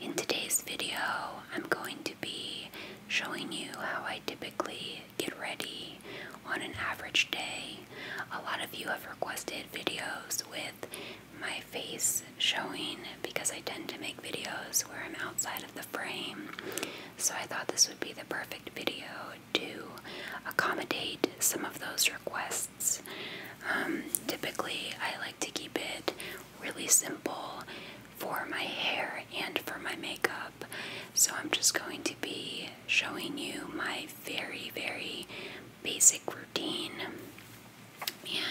in today's video, I'm going to be showing you how I typically get ready on an average day. A lot of you have requested videos with my face showing because I tend to make videos where I'm outside of the frame. So I thought this would be the perfect video to accommodate some of those requests. Um, typically, I like to keep it really simple for my hair and for my makeup. So I'm just going to be showing you my very, very basic routine.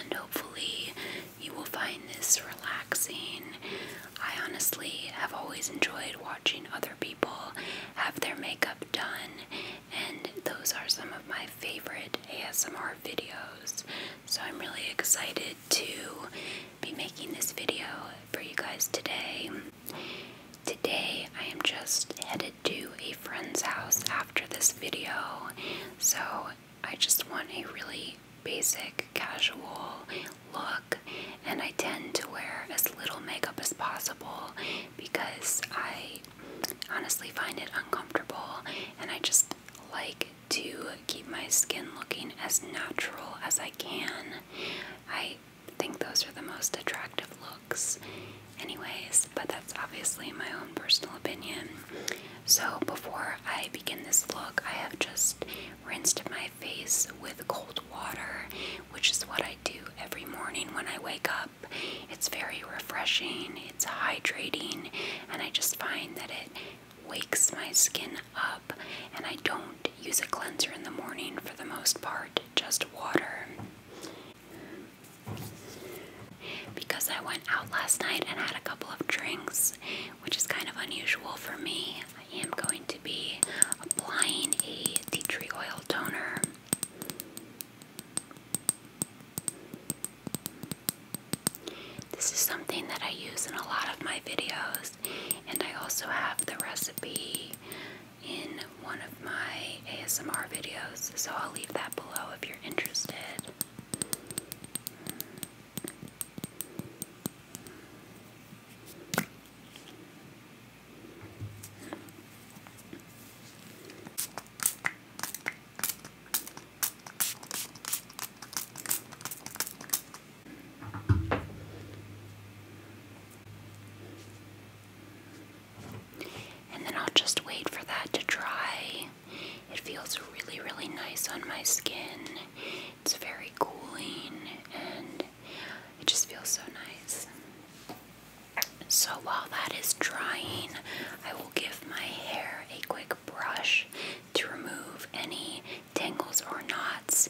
And hopefully, you will find this relaxing. I honestly have always enjoyed watching other people have their makeup done, and those are some of my favorite ASMR videos. So I'm really excited to be making this video for you guys today. Today I am just headed to a friend's house after this video. So I just want a really basic casual look and I tend to wear as little makeup as possible because I honestly find it uncomfortable and I just like to keep my skin looking as natural as I can. I think those are the most attractive looks, anyways, but that's obviously my own personal opinion. So, before I begin this look, I have just rinsed my face with cold water, which is what I do every morning when I wake up. It's very refreshing, it's hydrating, and I just find that it wakes my skin up, and I don't use a cleanser in the morning for the most part, just water. Because I went out last night and had a couple of drinks, which is kind of unusual for me, I am going to be applying a tea tree oil toner. This is something that I use in a lot of my videos, and I also have the recipe in one of my ASMR videos, so I'll leave that below if you're interested. And then I'll just wait for that to dry. It feels really, really nice on my skin. It's very cooling and it just feels so nice. So while that is drying, I will give my hair a quick brush to remove any tangles or knots.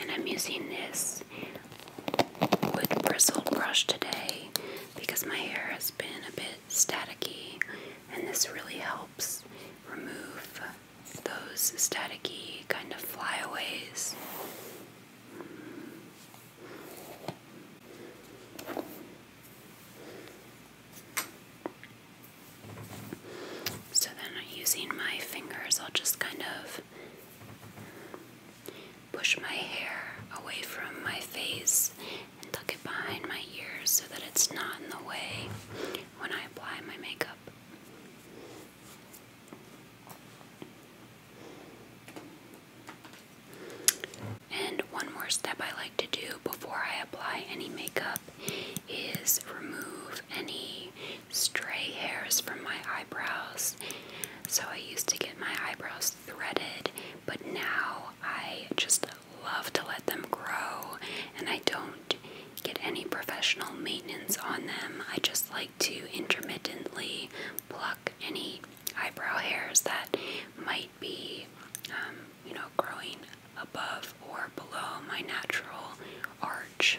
And I'm using this wood bristle brush today because my hair has been a bit staticky and this really helps remove those staticky kind of flyaways. So then, using my fingers, I'll just kind of push my hair away from my face and tuck it behind my ears so that it's not in the way when I apply my makeup. And one more step I like to do before I apply any makeup is remove any stray hairs from my eyebrows. So I used to get my eyebrows threaded, but now I just love to let them grow and I don't get any professional maintenance on them. I just like to intermittently pluck any eyebrow hairs that might be, um, you know, growing above or below my natural arch.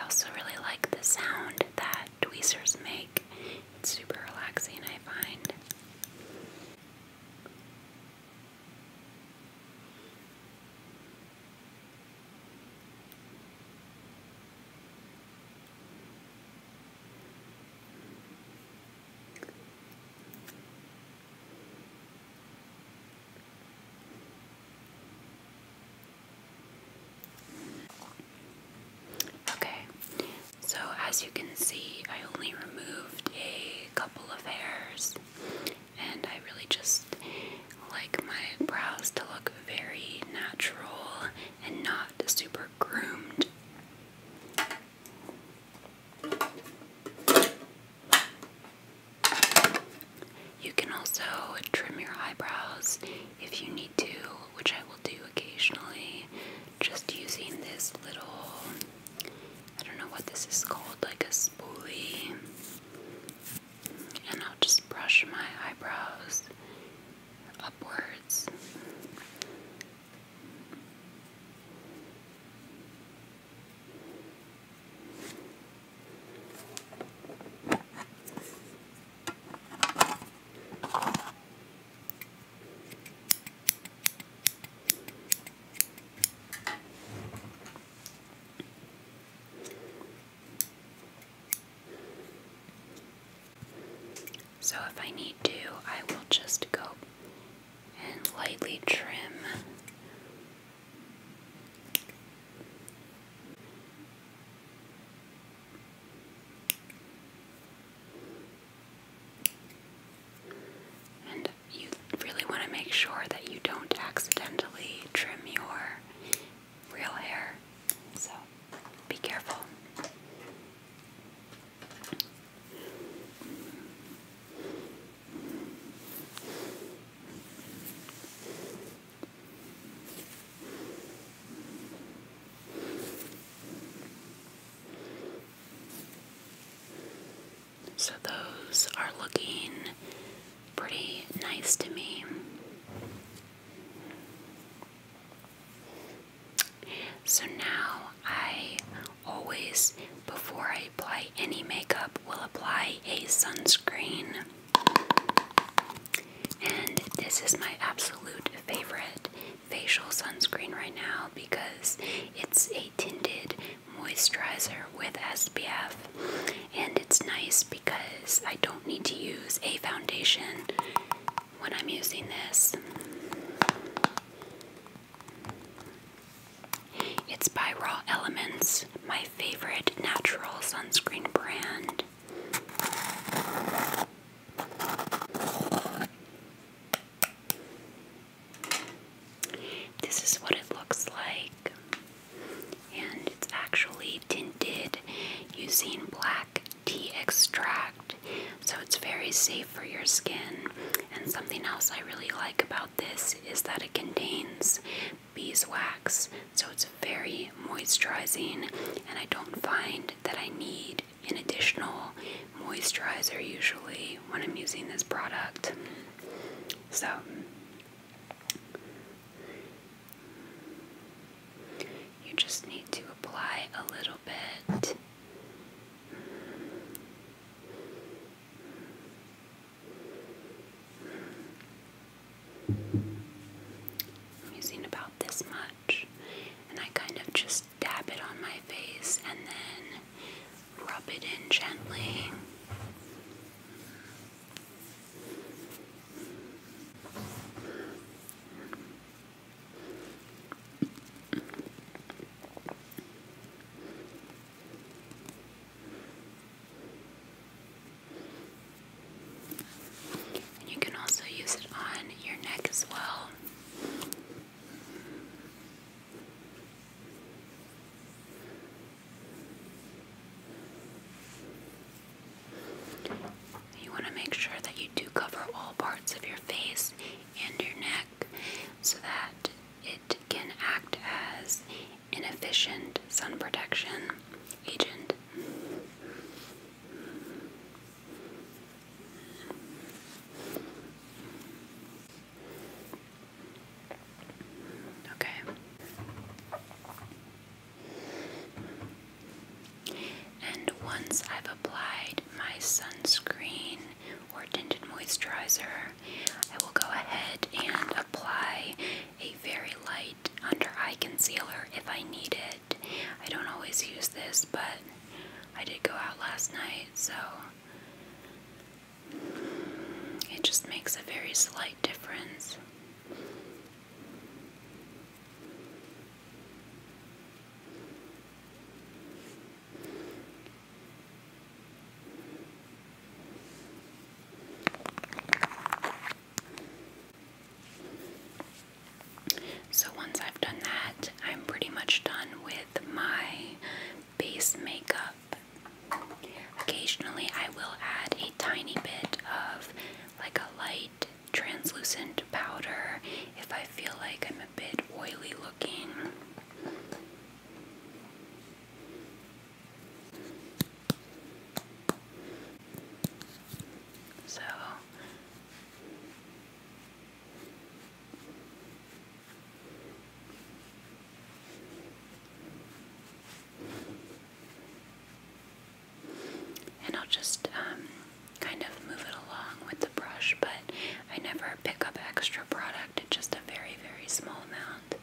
I also really like the sound that tweezers make. It's super relaxing, I find. Okay, so as you can see, I only removed a couple of hairs and I really just like my brows to look very natural and not super groomed. You can also trim your eyebrows if you need to, which I will do occasionally, just using this little, I don't know what this is called, like a spoolie and I'll just brush my eyebrows upwards. So if I need to, I will just go and lightly trim and you really want to make sure that you don't accidentally trim your real hair. So be careful. So, those are looking pretty nice to me. So now I always, before I apply any makeup, will apply a sunscreen. And this is my absolute favorite facial sunscreen right now because it's a tinted moisturizer with SPF and it's nice because I don't need to use a foundation when I'm using this. It's by Raw Elements, my favorite natural sunscreen brand. This is what it looks like and it's actually tinted using black tea extract, so it's very safe for your skin. And something else I really like about this is that it contains beeswax, so it's very moisturizing, and I don't find that I need an additional moisturizer usually when I'm using this product. So, you just need to apply a little bit. I'm using about this much, and I kind of just dab it on my face and then rub it in gently. And you can also use it on your neck as well. You want to make sure that you do cover all parts of your face and your neck so that it can act as an efficient sun protection agent. Okay. And once I've applied my sunscreen or tinted moisturizer, I will go ahead and apply a very light under eye concealer if I need it. I don't always use this, but I did go out last night, so it just makes a very slight difference. So once I've done that, I'm pretty much done with my base makeup. Occasionally, I will add a tiny bit of like a light translucent powder if I feel like I'm a bit oily looking. So and I'll just um, kind of move it along with the brush, but I never pick up extra product, it's just a very, very small amount.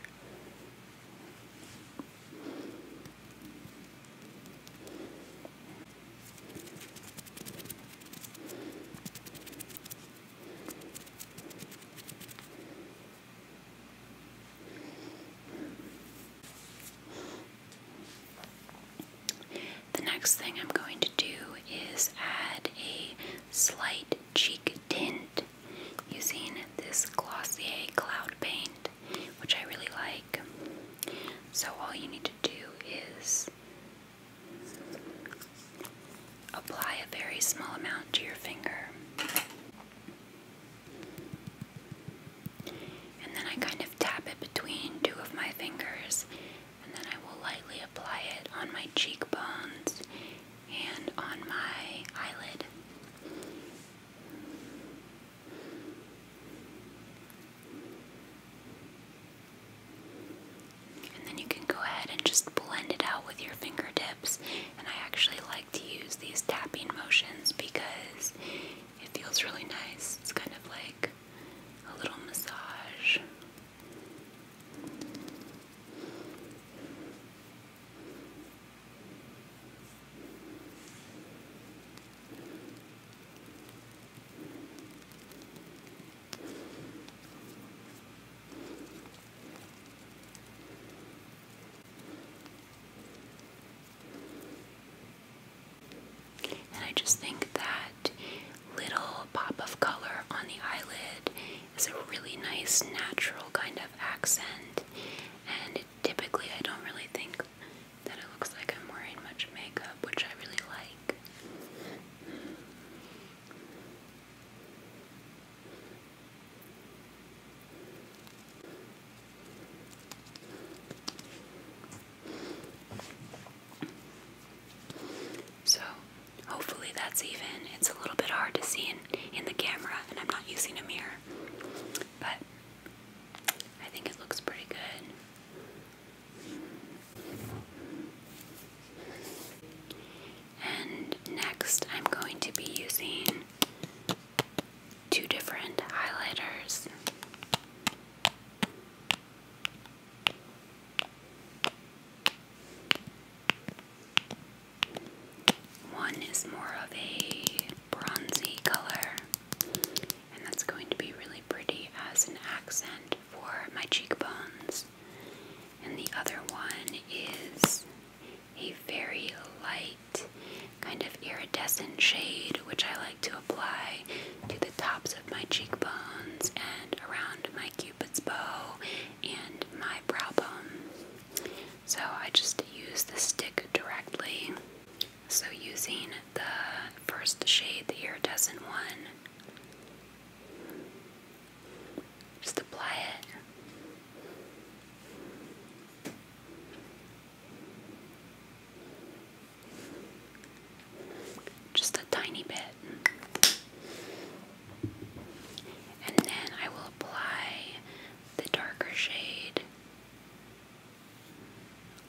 The next thing I'm going to do is add a slight cheek tint using this Glossier Cloud Paint, which I really like. So, all you need to do is apply a very small amount to your finger. And then I kind of tap it between two of my fingers, and then I will lightly apply it on my cheekbones and on my eyelid. And then you can go ahead and just blend it out with your fingertips. And I actually like to use these tapping motions because it feels really nice. It's kind of like a little massage. And I just think that little pop of color on the eyelid is a really nice natural kind of accent. And typically, I don't really think that it looks like I'm wearing much makeup, which I really like. So, hopefully that's even. It's a little bit hard to see in, in the camera, and I'm not using a mirror. But I think it looks pretty good. And next, I'm going to be using two different highlighters. One is more of a bronzy color, and that's going to be really pretty as an accent for my cheekbones. And the other one is a very light kind of iridescent shade, which I like to apply to the tops of my cheekbones and around my cupid's bow and my brow bone. So I just use the stick directly. So using the first shade, the iridescent one, just apply it. Just a tiny bit. And then I will apply the darker shade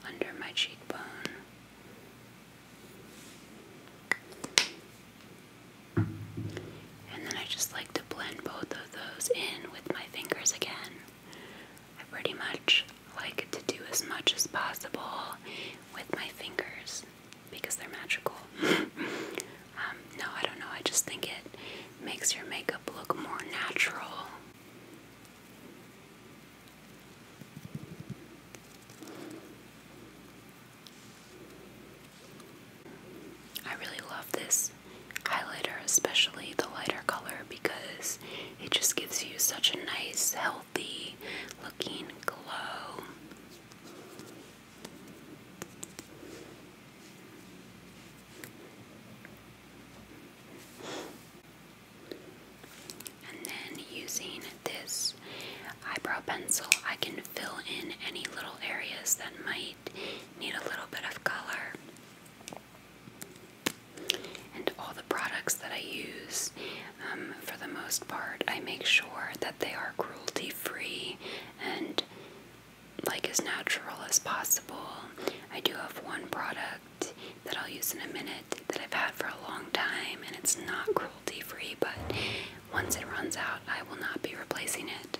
under my cheekbone. And then I just like to blend both of those in with my fingers again. pretty much like to do as much as possible with my fingers because they're magical. Um, no, I don't know. I just think it makes your makeup look more natural. I really love this highlighter, especially the lighter color, because it just gives you such a nice, healthy looking glow. And then using this eyebrow pencil, I can fill in any little areas that might need a little bit of color. And all the products that I use, um, for the most part, I make sure that they are cruelty free and like as natural as possible. I do have one product that I'll use in a minute that I've had for a long time and it's not cruelty free, but once it runs out, I will not be replacing it.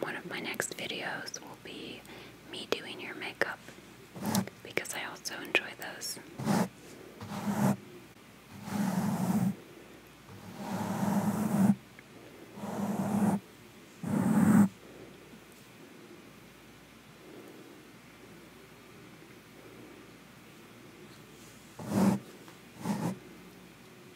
One of my next videos will be me doing your makeup because I also enjoy those.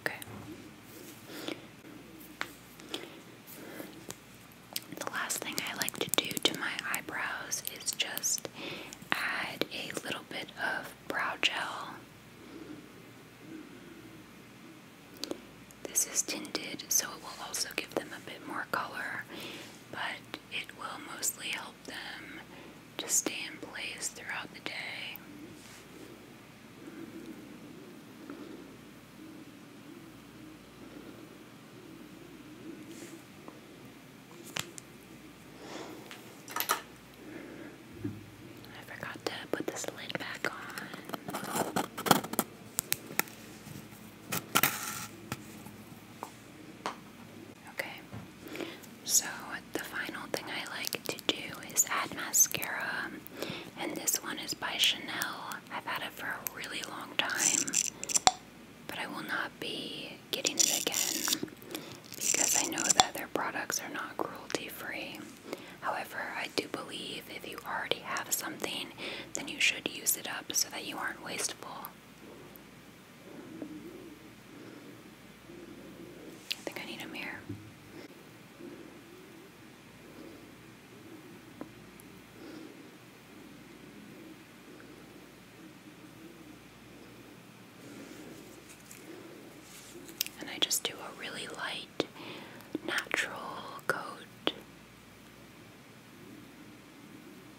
Okay. The last thing I like to do to my eyebrows is just add a little bit of brow gel. This is tinted, so it will also give them a bit more color, but it will mostly help them to stay in place throughout the day. I forgot to put this lid back on. Okay, so the final thing I like to do is add mascara, and this one is by Chanel. I've had it for a really long time, but I will not be getting it again because I know that their products are not cruelty free. However, I do believe if you already have something, then you should use it up so that you aren't wasteful. I think I need a mirror. And I just do a really light, natural coat.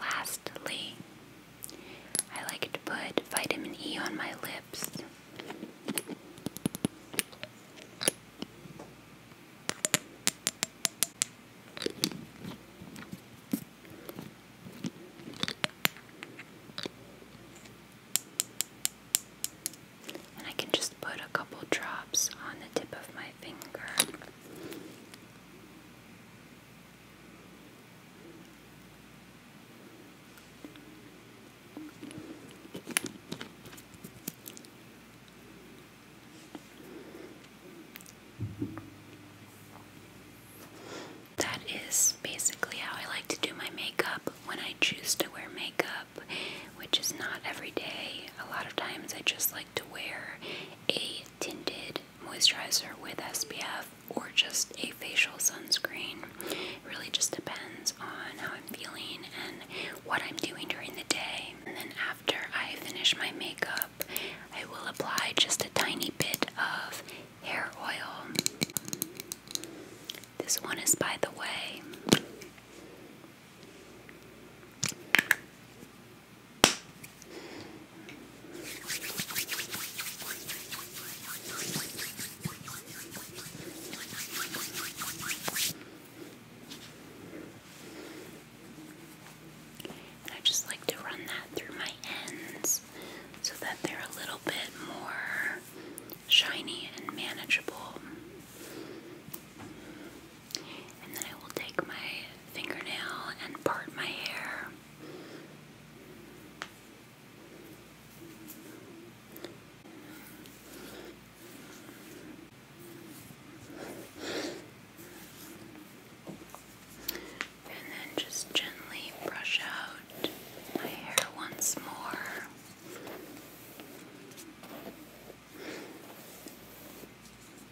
Lastly, I like to put vitamin E on my lips. And I can just put a couple drops on the tip of my finger. That is basically how I like to do my makeup when I choose to wear makeup, which is not every day. A lot of times I just like to wear a tinted moisturizer with SPF or just a facial sunscreen. really just depends on how I'm feeling and what I'm doing during the day. And then after I finish my makeup, I will apply just a tiny bit of hair oil. This one is by the way. I just like to run that through my ends so that they're a little bit more shiny and manageable. And then I will take my fingernail and part my hair and then just gently brush out my hair once more.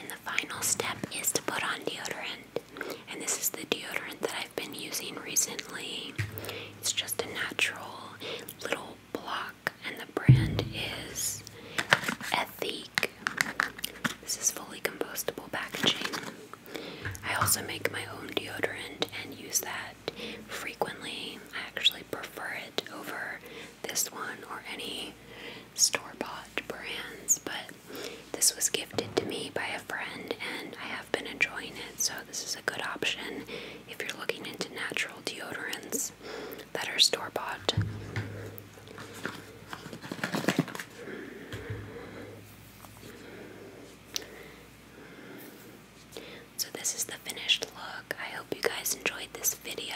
And the final step is to put on deodorant. And this is the deodorant that I've been using recently. It's just a natural little block, and the brand is Ethique. This is fully compostable packaging. I also make my own deodorant and use that frequently. I actually prefer it over this one or any store bought brands, but this was gifted to me by a friend and I have been enjoying it, so this is a good option if you're looking into natural deodorants that are store bought. So this is the finished look. I hope you guys enjoyed this video.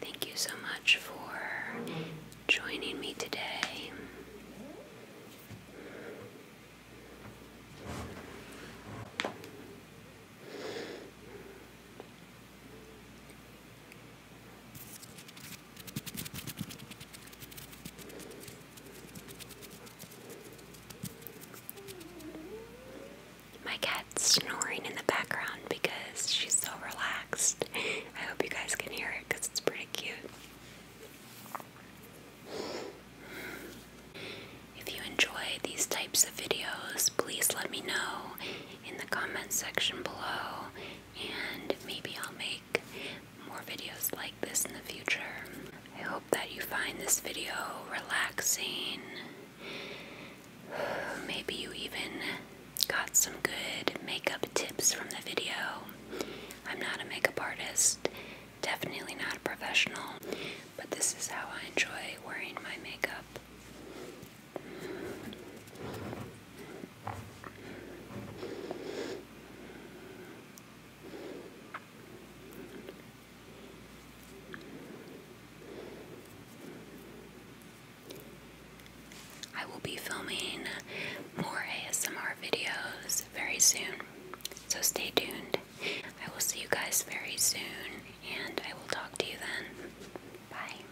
Thank you so much for joining me today. My cat's snoring in the background because she's so relaxed. I hope you guys can hear it because it's pretty cute. If you enjoy these types of videos, please let me know in the comments section below, and maybe I'll make more videos like this in the future. I hope that you find this video relaxing. Maybe you even got some good makeup tips from the video. I'm not a makeup artist, definitely not a professional, but this is how I enjoy wearing my makeup. I will be filming more ASMR videos very soon, so stay tuned. I will see you guys very soon, and I will talk to you then. Bye.